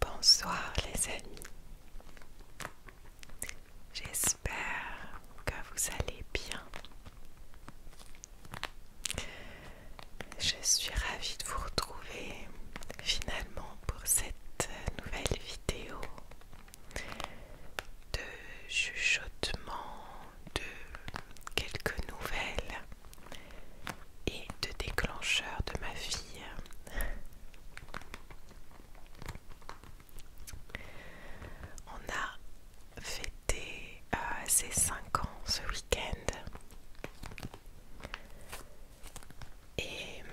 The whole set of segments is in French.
Bonsoir les amis. J'espère que vous allez bien. Je suis ravie de vous retrouver finalement pour cette nouvelle vidéo de chuchotement de quelques nouvelles et de déclencheurs de ma vie On a fêté ses euh, 5 ans ce week-end. Et hum,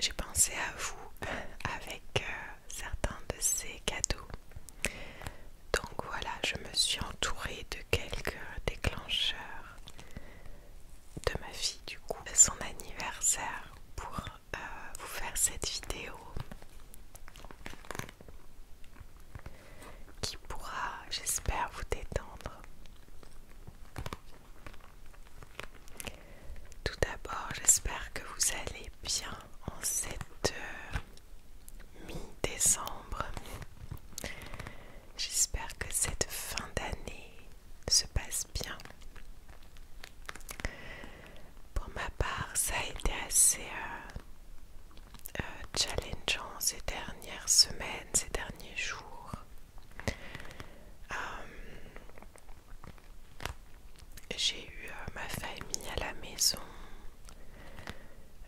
j'ai pensé à vous avec euh, certains de ces cadeaux donc voilà, je me suis entourée de quelques déclencheurs de ma fille du coup, son anniversaire pour euh, vous faire cette vidéo qui pourra, j'espère, vous détendre. Tout d'abord, j'espère que vous allez bien en cette heure mi-décembre. J'espère que cette fin d'année se passe bien. Pour ma part, ça a été assez euh, euh, challengeant ces dernières semaines, ces derniers jours. Euh, j'ai eu ma famille à la maison.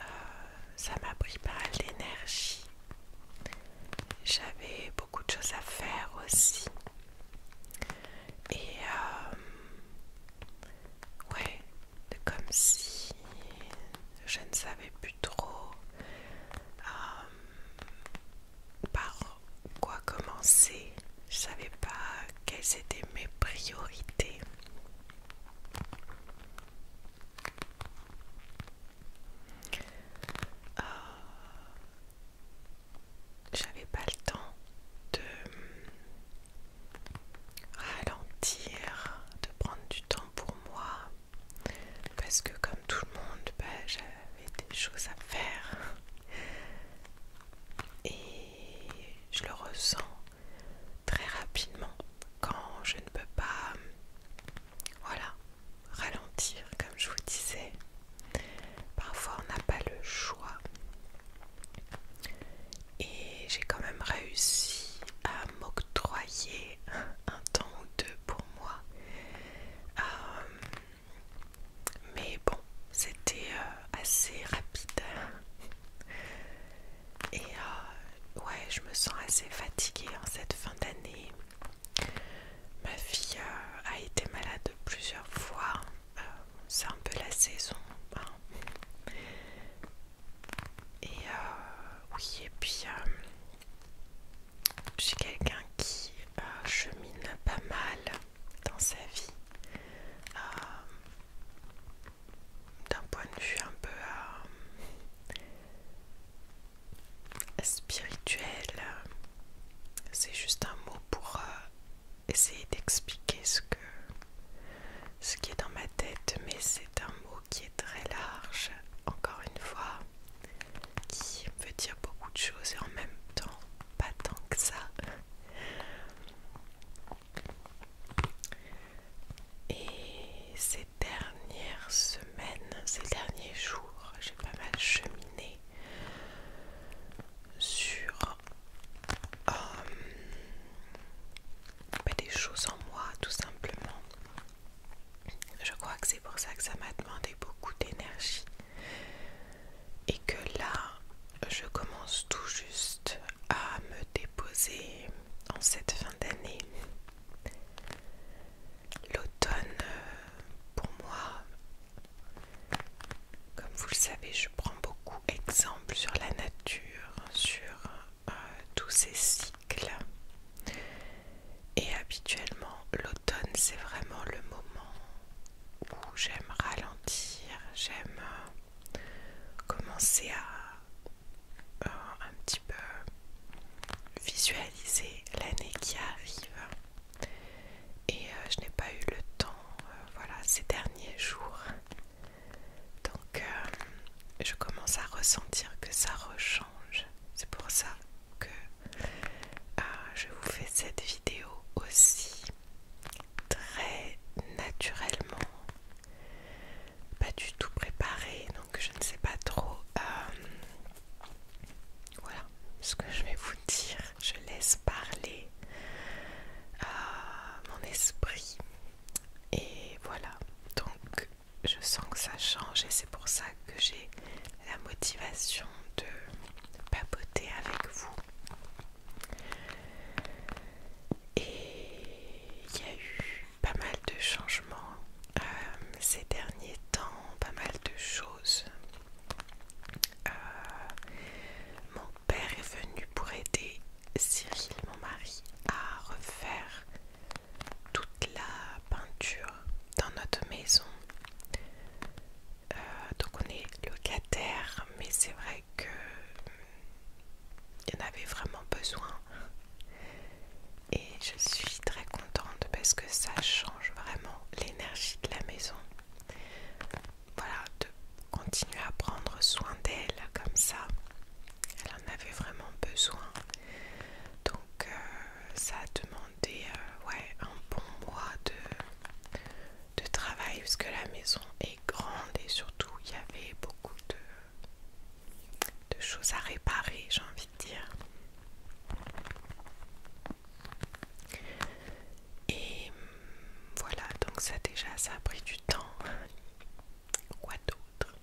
Euh, ça m'a pris pas mal d'énergie. J'avais beaucoup de choses à faire aussi. Et euh, ouais, comme si je ne savais plus trop euh, par quoi commencer. Je savais pas quelles étaient mes priorités. Euh, j'avais pas le temps de ralentir, de prendre du temps pour moi, parce que comme tout le monde, bah, j'avais des choses à faire. Et je le ressens très rapidement quand je ne peux pas voilà ralentir comme je vous disais parfois on n'a pas le choix et j'ai quand même réussi à m'octroyer un temps ou deux pour moi euh, mais bon c'était euh, assez rapide et euh, ouais, je me sens assez fatiguée en cette fin d'année. Ma fille euh, a été malade plusieurs fois. Euh, c'est un peu la saison. Hein. Et oui, et puis je suis quelqu'un qui chemine pas mal dans sa vie d'un point de vue un peu euh, spirituel. C'est juste un mot pour euh, essayer d'expliquer ce que ce qui est dans ma tête, mais c'est un mot qui est très large, encore une fois, qui veut dire beaucoup de choses et en même temps pas tant que ça. Et ces dernières semaines, ces derniers jours, j'ai pas mal cheminé sur euh, ben, des choses en moi, tout simplement. Je crois que c'est pour ça que ça m'a demandé beaucoup d'énergie et que là, je commence tout juste à me déposer en cette fin d'année. L'automne, euh, pour moi, comme vous le savez, je prends beaucoup exemple sur la nature, sur euh, tous ces cycles. Et habituellement, l'automne, c'est vraiment le moment où j'aime ralentir, j'aime euh, commencer à euh, un petit peu visualiser l'année qui arrive et euh, je n'ai pas eu le temps euh, voilà ces derniers jours donc je commence à ressentir que ça rechange c'est pour ça que je vous fais cette vidéo aussi très naturellement pas du tout préparé, donc je ne sais pas trop. Euh, voilà ce que je vais vous dire. Je laisse parler à euh, mon esprit. Et voilà, donc je sens que ça change et c'est pour ça que j'ai la motivation de papoter avec vous. Et il y a eu pas mal de changements euh, ces derniers temps, pas mal de choses. Euh, mon père est venu pour aider Cyril, mon mari, à refaire toute la peinture dans notre maison. Euh, donc on est locataire, mais c'est vrai que il en avait vraiment besoin. Et je suis très contente parce que ça change vraiment l'énergie de la maison. Voilà, de continuer à prendre soin d'elle comme ça. Elle en avait vraiment besoin. Donc euh, ça a demandé euh, un bon mois de, de travail parce que la maison est grande et surtout il y avait beaucoup de de choses à réparer, j'ai envie de dire. Et voilà, donc ça déjà, ça a pris du temps. Quoi d'autre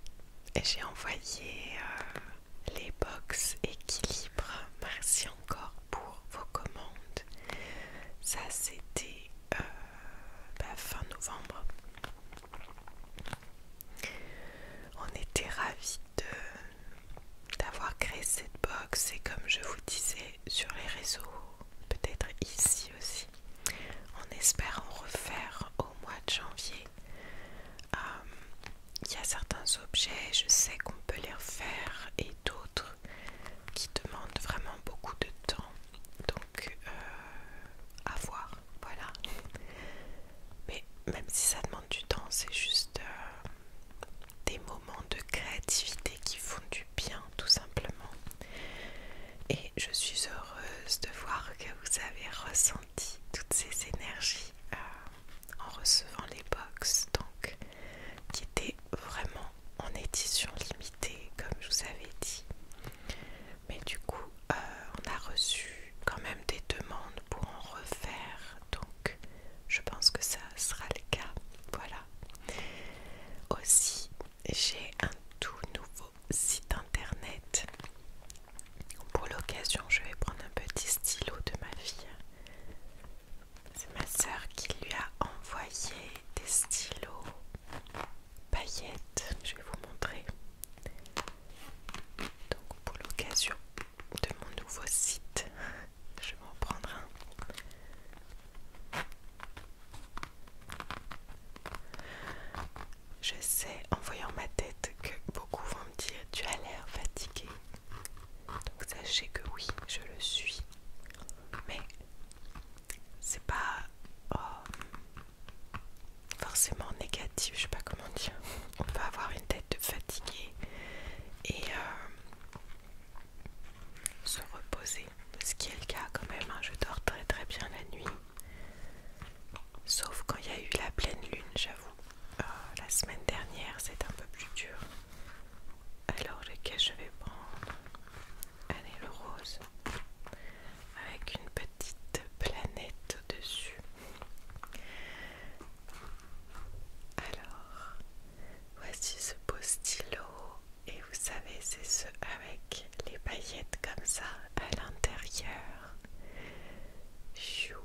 Et J'ai envoyé euh, les box équilibre. Merci encore pour vos commandes. Ça, c'était euh, bah, fin novembre. On était ravis d'avoir créé cette box et comme je vous disais sur les réseaux, peut-être ici aussi, on espère en refaire au mois de janvier. Euh, il y a certains objets, je sais qu'on peut les refaire et d'autres qui demandent vraiment beaucoup de temps. Euh, à voir voilà mais même si ça demande du temps c'est juste euh, des moments de créativité qui font du bien tout simplement et je suis heureuse de voir que vous avez ressenti toutes ces énergies euh, en recevant les box donc qui étaient vraiment en édition limitée comme je vous avais dit mais du coup euh, on a reçu quand même des demandes pour en refaire donc je pense que ça sera le cas voilà aussi j'ai un tout nouveau site internet pour l'occasion je vais prendre un petit stylo de ma fille c'est ma soeur qui lui a envoyé des stylos paillettes. Je vais vous montrer. Donc pour l'occasion de mon nouveau site, je vais en prendre un. Je sais en voyant ma tête que beaucoup vont me dire tu as l'air fatigué. Donc sachez que oui, je le suis. Mais c'est pas... Oh, forcément négatif, je sais pas comment dire. On peut avoir une tête fatiguée et euh, se reposer, ce qui est le cas quand même. Hein. Je dors très très bien la nuit, sauf quand il y a eu la pleine lune, j'avoue. Euh, la semaine dernière, c'est un peu plus dur. Alors lequel je vais prendre Allez, le rose avec une petite planète au-dessus. Alors, voici ce beau stylo et vous savez, c'est ce avec les paillettes comme ça à l'intérieur. Chou,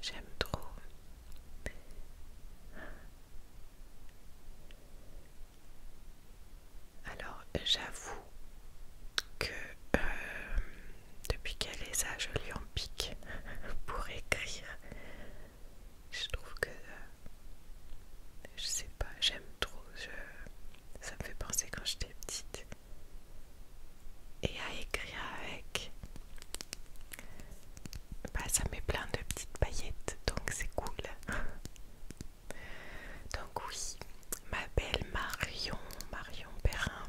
j'aime trop. Alors j'avoue que euh, depuis qu'elle est ça, je lui en pique pour écrire. Je trouve que... Euh, je sais pas, j'aime trop. ça me fait penser quand j'étais petite. Et à écrire avec... Bah ça met plein de petites paillettes, donc c'est cool. Donc oui, ma belle Marion, Marion Perrin,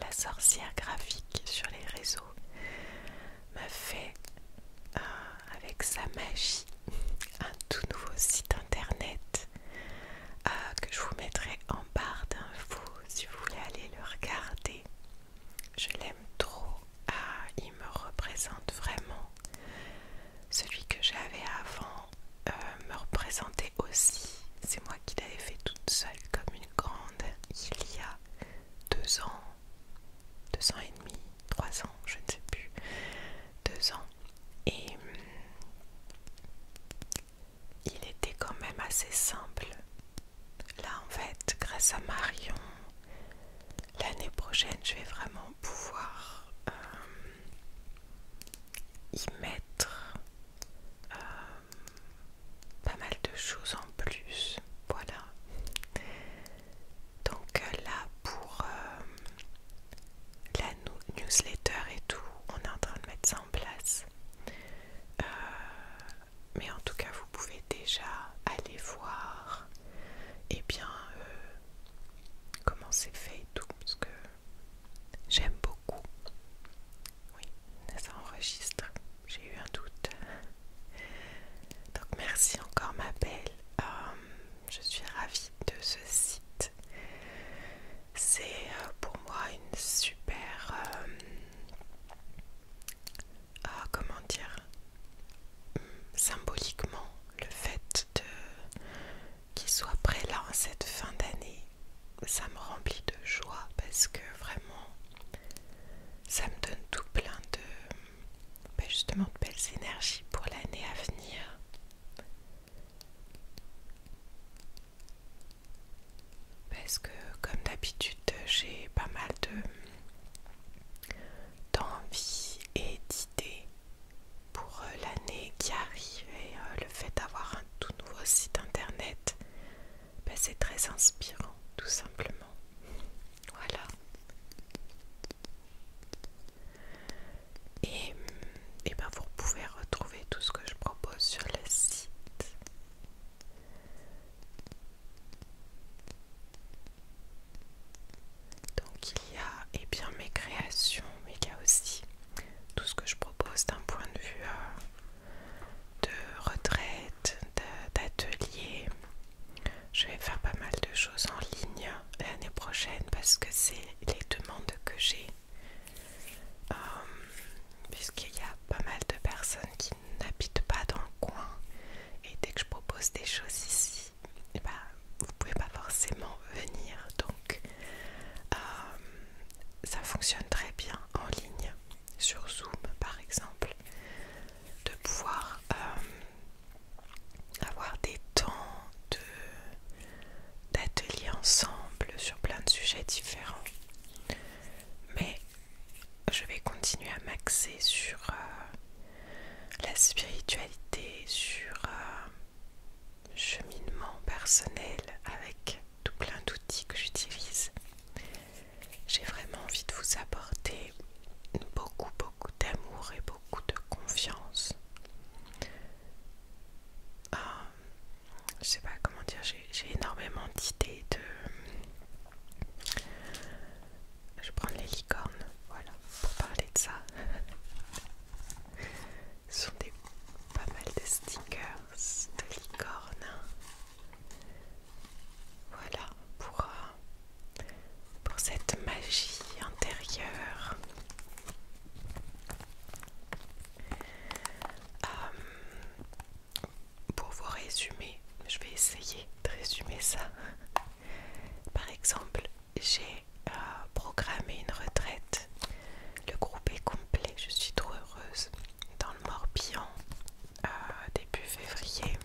la sorcière graphique sur les réseaux, m'a fait euh, avec sa magie un tout nouveau site internet euh, que je vous mettrai en barre d'infos si vous voulez aller le regarder. Je l'aime trop, ah, il me représente vraiment. Celui que j'avais avant euh, me représentait aussi. C'est moi qui l'avais fait toute seule comme une grande il y a deux ans, deux ans et demi, trois ans, je ne sais plus, deux ans. Et hum, il était quand même assez simple. Là en fait, grâce à Marion, l'année prochaine, je vais vraiment pouvoir hum, y mettre euh, pas mal de choses en plus. Voilà. Donc euh, là pour euh, la newsletter et tout, on est en train de mettre ça en place. mais en tout cas, vous pouvez déjà aller voir et eh bien comment c'est fait tout parce que j'aime beaucoup. Oui, ça enregistre. J'ai eu un doute. Donc merci encore ma belle. Euh, je suis ravie de ce site. C'est euh, pour moi une super... Euh, comment dire mm, Symboliquement, le fait de qui soit prêt là en cette fin d'année, ça me remplit de joie parce que vraiment, ça me donne tout plein de, ben, justement, de belles énergies pour l'année à venir. Parce que comme d'habitude, j'ai pas mal de d'envie et d'idées pour euh, l'année qui arrive et euh, le fait d'avoir un tout nouveau site internet, ben, c'est très inspirant tout simplement. Voilà. Et, et ben, vous pouvez retrouver tout ce que je propose sur le site. Donc il y a et eh bien, mes créations, mais il y a aussi tout ce que je propose d'un point de vue euh, de retraite, d'atelier. Je vais faire pas mal de choses en ligne l'année prochaine parce que c'est les demandes que j'ai. Euh, puisqu'il y a pas mal de personnes qui n'habitent pas dans le coin. Et dès que je propose des choses ici, eh ben, vous pouvez pas forcément venir. Donc, euh, ça fonctionne très bien en ligne, sur Zoom par exemple, de pouvoir euh, avoir des temps d'ateliers ensemble sur plein de sujets différents. Mais je vais continuer à m'axer sur euh, la spiritualité, sur cheminement personnel avec tout plein d'outils que j'utilise. J'ai vraiment envie de vous apporter beaucoup, beaucoup d'amour et beaucoup de confiance. Euh, je sais pas comment dire, j'ai énormément d'idées de. Je prends les licornes, voilà, pour parler de ça. sont des pas mal de stickers de licorne. Voilà pour, euh, pour cette magie intérieure. Euh, pour vous résumer, je vais essayer de résumer ça. Par exemple, j'ai euh, programmé une retraite. Le groupe est complet, je suis trop heureuse. Dans le Morbihan, euh, début février.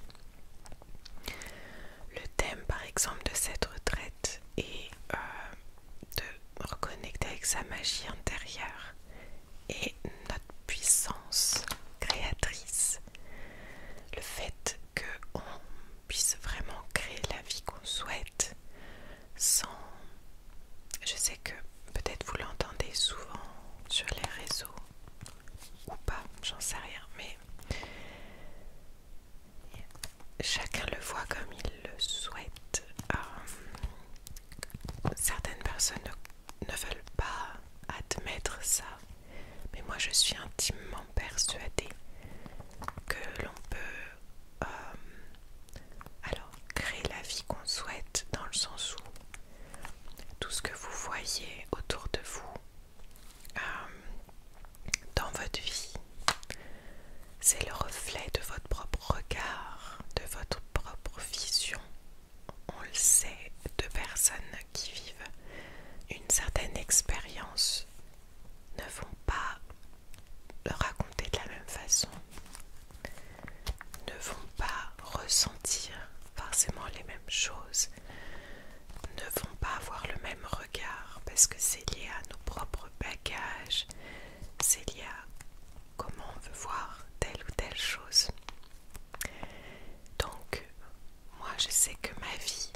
Le thème par exemple de cette retraite est euh, de reconnecter avec sa magie intérieure et notre puissance créatrice. Le fait qu'on puisse vraiment créer la vie qu'on souhaite, sans... Je sais que peut-être vous l'entendez souvent sur les réseaux ou pas, j'en sais rien, mais chacun le voit comme il le souhaite. Euh, certaines personnes ne veulent pas admettre ça, mais moi je suis intimement persuadée que l'on peut euh, alors créer la vie qu'on souhaite dans le sens où tout ce que vous voyez autour de vous euh, dans votre vie, c'est le reflet de votre propre regard, de votre propre vision. On le sait de personnes qui vivent une certaine expérience ne vont pas le raconter de la même façon, ne vont pas ressentir forcément les mêmes choses, ne vont pas avoir le même regard parce que c'est lié à nos propres bagages, c'est lié à comment on veut voir telle ou telle chose. Donc, moi je sais que ma vie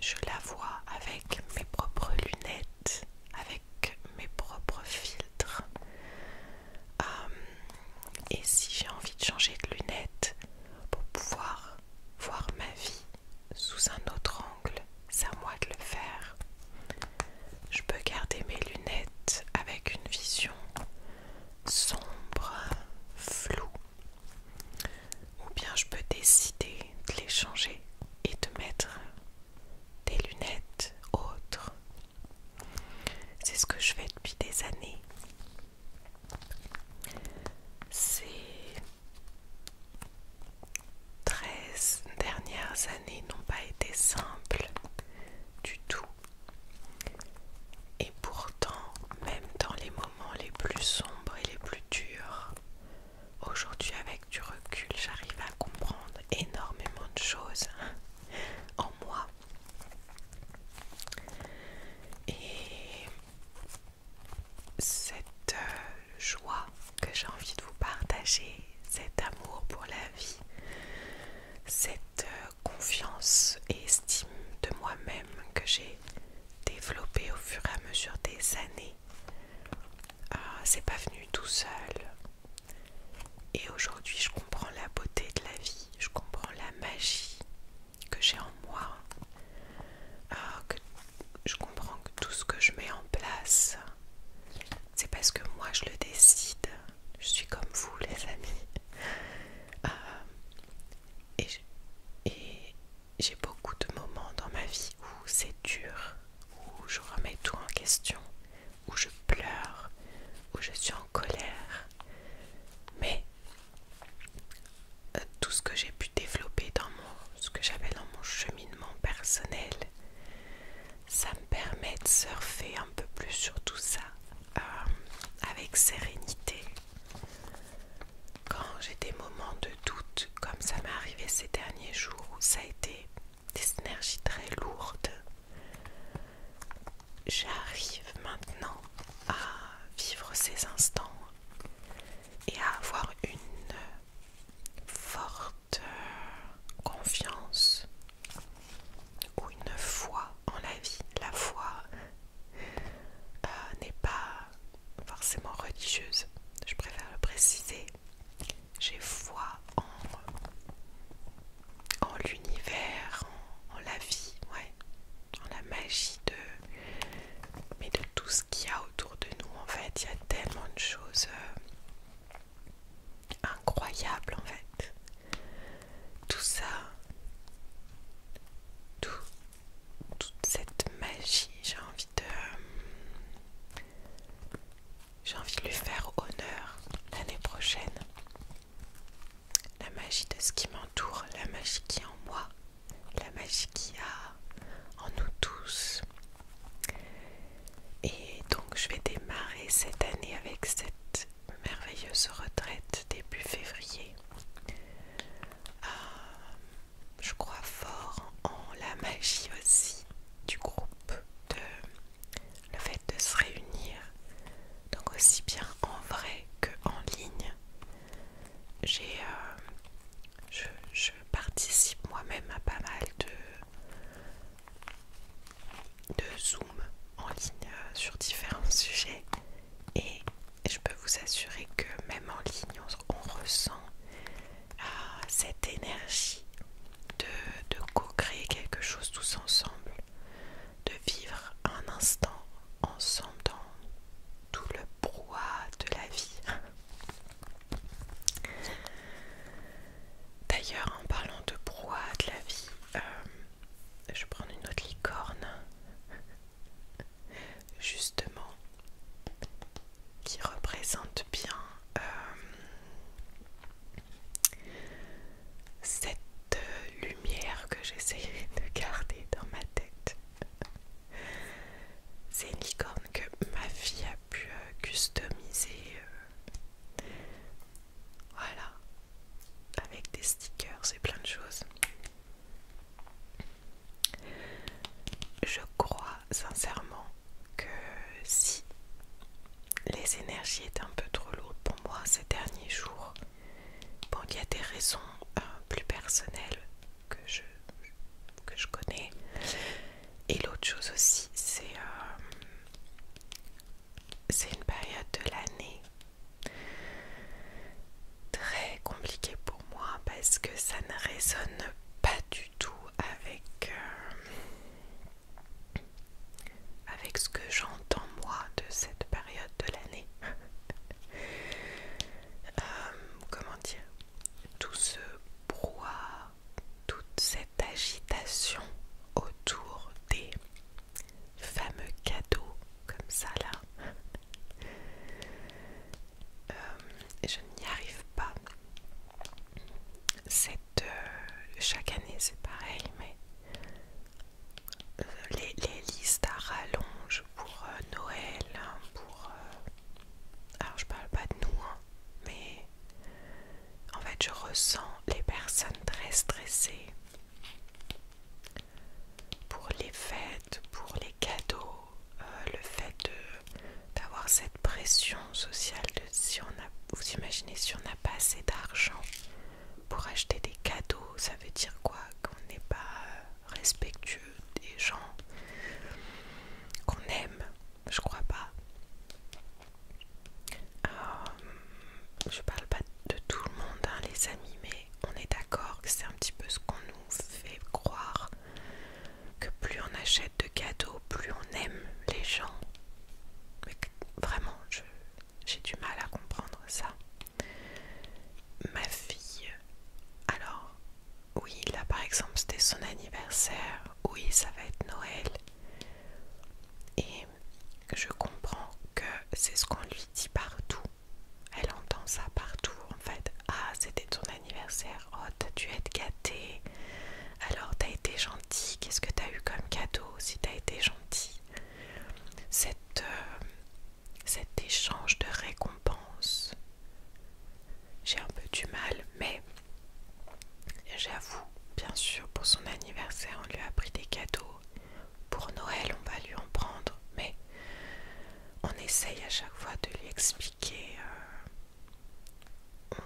je la vois avec mes propres lunettes, avec mes propres filtres. Hum, et si j'ai envie de changer de lunette pour pouvoir voir ma vie sous un autre angle, c'est à moi de le faire. Je peux garder mes lunettes avec une vision sombre, floue ou bien je peux décider de les changer et de mettre des lunettes autres. C'est ce que je fais depuis des années. Ces 13 dernières années n'ont pas été simples du tout. Et pourtant, même dans les moments les plus sombres et les plus durs, Aujourd'hui, avec du recul, j'arrive à comprendre énormément de choses en moi. Et cette euh, joie que j'ai envie de vous partager, cet amour pour la vie, cette euh, confiance et estime de moi-même que j'ai développée au fur et à mesure des années ah, c'est pas venu tout seul. Et aujourd'hui, je comprends la beauté de la vie, je comprends la magie que j'ai en moi, ah, je comprends que tout ce que je mets en place, c'est parce que moi je le décide. Je suis comme vous, les amis. Ah, et, et, j'ai beaucoup de moments dans ma vie où c'est dur, où je remets tout en question, où je pleure, où je suis en colère. Mais euh, tout ce que j'ai pu développer dans mon, cheminement personnel, ça me permet de surfer un peu plus sur tout ça euh, avec sérénité. Quand j'ai des moments de doute, comme ça m'est arrivé ces derniers jours où ça a été des énergies très lourdes, j'arrive maintenant à vivre ces instants et à avoir une forte confiance ou une foi en la vie. La foi euh, n'est pas forcément religieuse, je préfère le préciser j'ai foi en, en l'univers, en, la vie, ouais, en la magie de, mais de tout ce qu'il y a autour de nous. En fait, il y a tellement de choses euh, incroyables, en fait. Tout ça, toute cette magie, j'ai envie de... J'ai envie de lui faire honneur l'année prochaine. La magie de ce qui m'entoure, la magie qui est en moi, la magie qui a en nous tous. Et donc je vais démarrer cette année avec cette merveilleuse retraite début février. Euh, je crois fort en la magie aussi du groupe, de le fait de se réunir, donc aussi bien en vrai que en ligne. J'ai, euh, je, participe moi-même à pas mal de, de Zoom en ligne euh, sur différents sujets et je peux vous assurer que même en ligne on ressent à ah, cette énergie de, co-créer quelque chose tous ensemble, de vivre un instant ensemble dans tout le brouhaha de la vie. D'ailleurs, en parlant de brouhaha de la vie, euh, je vais prendre une autre licorne. Justement, qui représente bien euh, cette euh, lumière que j'essayais de garder dans ma tête. C'est une licorne que ma fille a pu euh, customiser. voilà. Avec des stickers et plein de choses. Je crois sincèrement que si les énergies étaient un peu trop lourdes pour moi ces derniers jours, bon, il y a des raisons euh, plus personnelles que je, que je connais. Et l'autre chose aussi, c'est euh, c'est une période de l'année très compliquée pour moi parce que ça ne résonne pas du tout avec, euh, avec ce que j'entends moi de cette période de l'année. Euh, comment dire Tout ce brouhaha, toute cette agitation autour des fameux cadeaux comme ça là. Euh, je n'y arrive pas. Cette, euh, chaque année c'est pareil, mais euh, les, listes à rallonge pour euh, Noël, hein, pour... alors je parle pas de nous, hein, mais en fait je ressens les personnes très stressées pour les fêtes, pour les cadeaux, euh, le fait d'avoir cette pression sociale de si on a, vous imaginez si on n'a pas assez d'argent pour acheter des cadeaux, ça veut dire quoi Qu'on n'est pas euh, respectueux des gens qu'on aime, je crois pas. Euh, je parle pas de tout le monde, hein, les amis, mais on est d'accord que c'est un petit peu ce qu'on nous fait croire que plus on achète de cadeaux, plus on aime les gens. Mais vraiment, j'ai du mal à comprendre ça. Ma fille, alors, oui, là par exemple, c'était son anniversaire, oui, ça va être Noël. Et je comprends que c'est ce qu'on lui dit partout. Elle entend ça partout en fait. Ah, c'était ton anniversaire. Oh, t'as dû être gâté. Alors, t'as été gentil. Qu'est-ce que t'as eu comme cadeau si t'as été gentil Cette, euh, Cet échange de récompense. J'ai un peu du mal, mais j'avoue, bien sûr, pour son anniversaire, on lui a pris des cadeaux. Pour Noël, on va lui en prendre, mais on essaye à chaque fois de lui expliquer euh, on,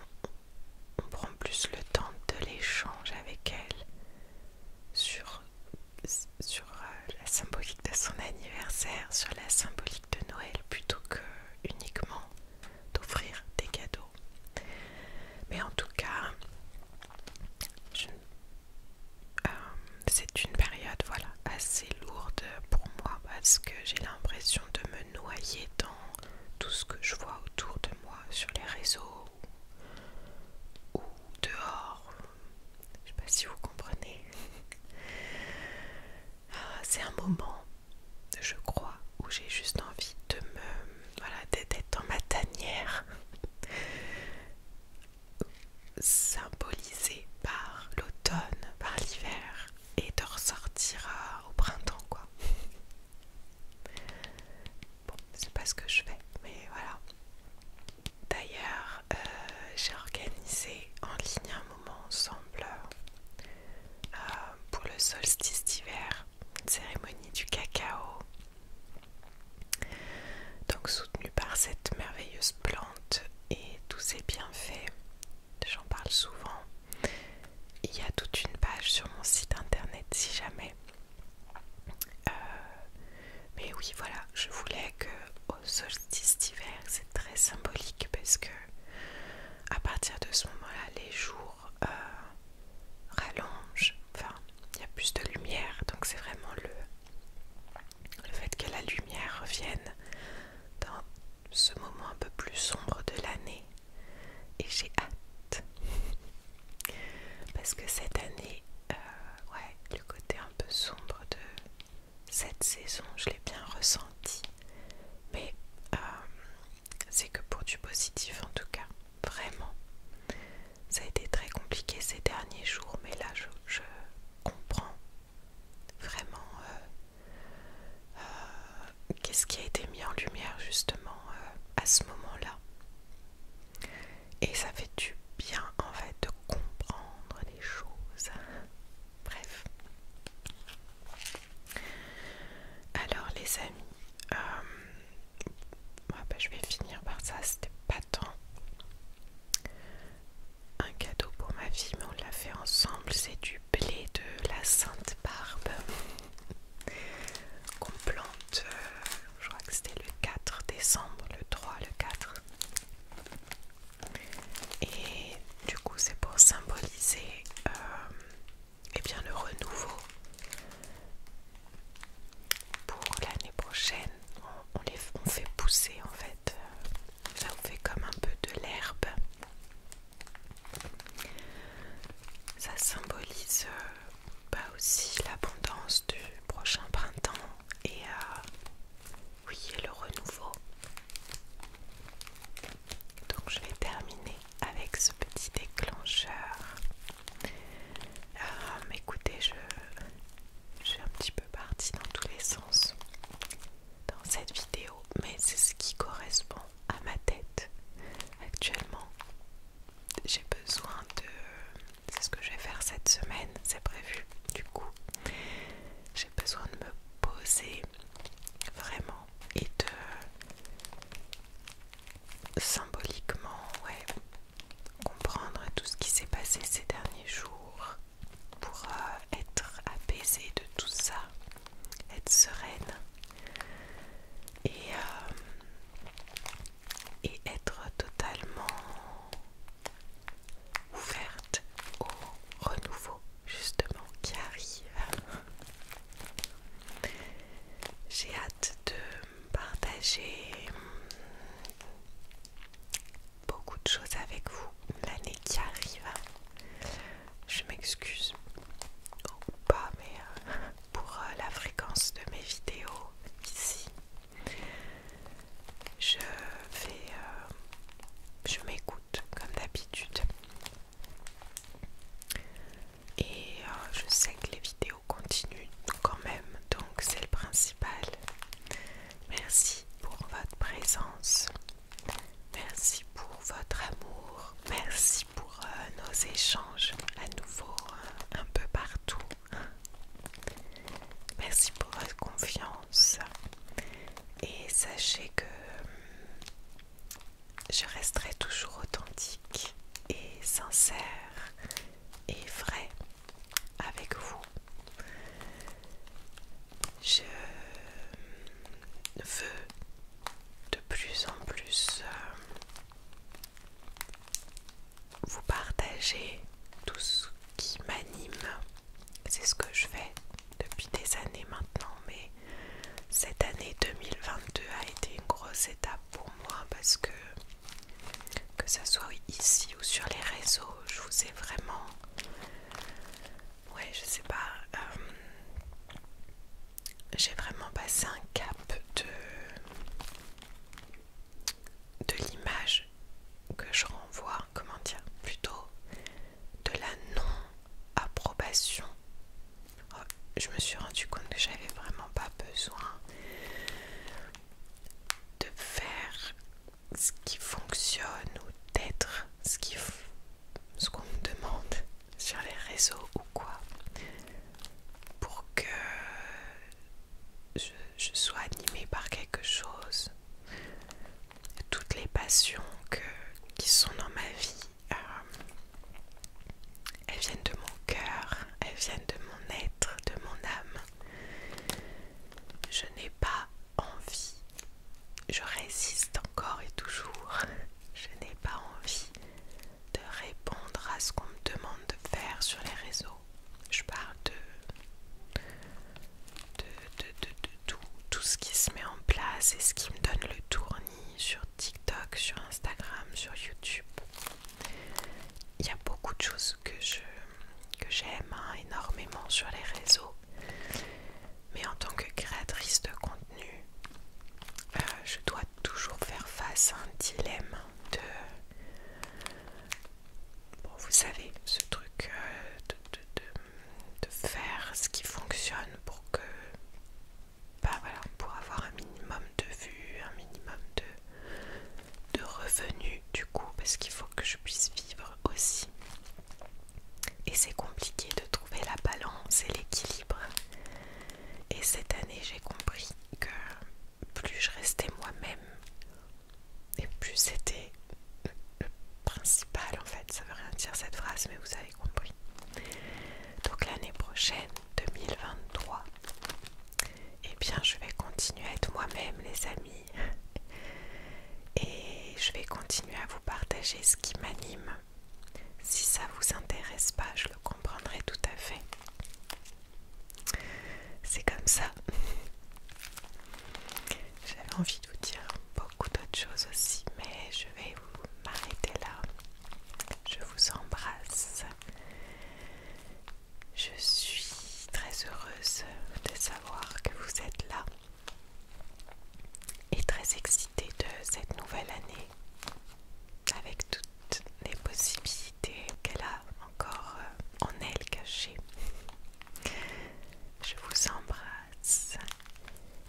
prend plus le temps de l'échange avec elle sur, euh, la symbolique de son anniversaire, sur la symbolique de Noël, plutôt que uniquement d'offrir des cadeaux. Mais en tout cas, euh, c'est une période assez lourde pour moi parce que j'ai l'impression de me noyer dans tout ce que je vois autour de moi sur les réseaux ou, dehors. Je sais pas si vous comprenez. Ah, c'est un moment, je crois, où j'ai juste envie de me. Voilà, d'être dans ma tanière. symbolisée par l'automne, par l'hiver, et de ressortir au printemps quoi. Bon, c'est pas ce que je fais, mais voilà. D'ailleurs, euh, j'ai organisé en ligne un moment ensemble euh, pour le solstice d'hiver, une cérémonie du cacao. Donc soutenue par cette merveilleuse plante et tous ses bienfaits j'en parle souvent. Il y a toute une page sur mon site internet si jamais. Euh, mais oui, voilà, je voulais que au solstice d'hiver, c'est très symbolique parce que à partir de ce moment-là, les jours euh, rallongent. Enfin, il y a plus de lumière, donc c'est vraiment le, le fait que la lumière revienne dans ce moment un peu plus sombre de l'année et j'ai hâte parce que cette année, euh, ouais, le côté un peu sombre de cette saison, je l'ai bien ressenti, mais euh, c'est que pour du positif en tout cas, vraiment. Ça a été très compliqué ces derniers jours, mais là je, comprends vraiment euh, euh, qu'est-ce qui a été mis en lumière justement euh, à ce moment-là Et ça fait du bien en fait de comprendre les choses. Bref. Alors les amis, euh, ah bah, je vais finir par ça, c'était pas tant un cadeau pour ma fille, mais on l'a fait ensemble, c'est du blé de la Sainte Barbe qu'on plante, euh, je crois que c'était le 4 décembre, le 3, le 4. Et du coup, c'est pour symboliser euh, eh bien, le renouveau pour l'année prochaine. On, les, fait pousser en fait, ça on fait comme un peu de l'herbe ça symbolise pas euh, bah aussi l'abondance du prochain printemps et euh, oui le renouveau. Donc je vais terminer avec ce petit déclencheur. Euh, écoutez, je, suis un petit peu partie dans tous les sens dans cette mais c'est ce qui correspond à ma tête actuellement. J'ai besoin de... C'est ce que je vais faire cette semaine, c'est prévu. Du coup, j'ai besoin de me poser vraiment et de symboliquement comprendre tout ce qui s'est passé ces derniers jours pour euh, être apaisé de tout ça être sereine et, euh, et être totalement ouverte au renouveau justement qui arrive. J'ai hâte de partager beaucoup de choses avec vous l'année qui arrive. Je m'excuse pas, mais euh, pour euh, la fréquence de mes vidéos ici, je vais, euh, je m'écoute comme d'habitude. Et je sais que les vidéos continuent quand même, donc c'est le principal. Merci pour votre présence. Merci pour votre amour. Merci pour nos échanges à nouveau euh, un peu partout. Merci pour votre confiance et sachez que hum, je resterai toujours authentique et sincère et vrai avec vous. Je hum, veux de plus en plus euh, vous partager tout ce qui m'anime. C'est ce que je fais depuis des années maintenant, mais cette année 2022 a été une grosse étape pour moi parce que que ce soit ici ou sur les réseaux, je vous ai vraiment Ouais, je sais pas. Euh, j'ai vraiment passé un cap de, de l'image que je renvoie, comment dire, plutôt de la non-approbation. Oh, je me suis rendu compte que j'avais vraiment pas besoin de faire ce qui fonctionne ou d'être ce qu'on me demande sur les réseaux ou quoi pour que je, sois animée par quelque chose. Toutes les passions que, qui sont dans ma vie, euh, elles viennent de mon cœur, elles viennent de mon être, de mon âme. Je n'ai pas envie, je résiste encore et toujours, je n'ai pas envie de répondre à ce qu'on me demande de faire sur les réseaux. Je parle de, de, tout, tout ce qui se met en place et ce qui me donne le tournis sur TikTok, sur Instagram, sur YouTube. Il y a beaucoup de choses que que j'aime hein, énormément sur les réseaux mais en tant que créatrice de contenu, euh, je dois toujours faire face à un dilemme de... Bon, vous savez, ce truc euh, de, de, de, faire ce qui fonctionne pour que... Bah voilà, pour avoir un minimum de vues, un minimum de, de revenus du coup, parce qu'il faut que je puisse vivre aussi et c'est compliqué de trouver la balance et l'équilibre. Et cette année, j'ai compris que plus je restais moi-même, et plus c'était le principal en fait. Ça veut rien dire cette phrase, mais vous avez compris. Donc l'année prochaine, 2023, Et eh bien je vais continuer à être moi-même, les amis. Et je vais continuer à vous partager ce qui m'anime, si ça vous intéresse pas, je le comprendrai tout à fait. C'est comme ça. J'avais envie de vous dire beaucoup d'autres choses aussi, mais je vais vous m'arrêter là. Je vous embrasse. Je suis très heureuse de savoir que vous êtes là et très excitée de cette nouvelle année avec toutes les possibilités qu'elle a encore euh, en elle cachées. Je vous embrasse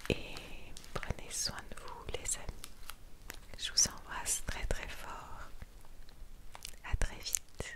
et prenez soin de vous les amis. Je vous embrasse très très fort. À très vite.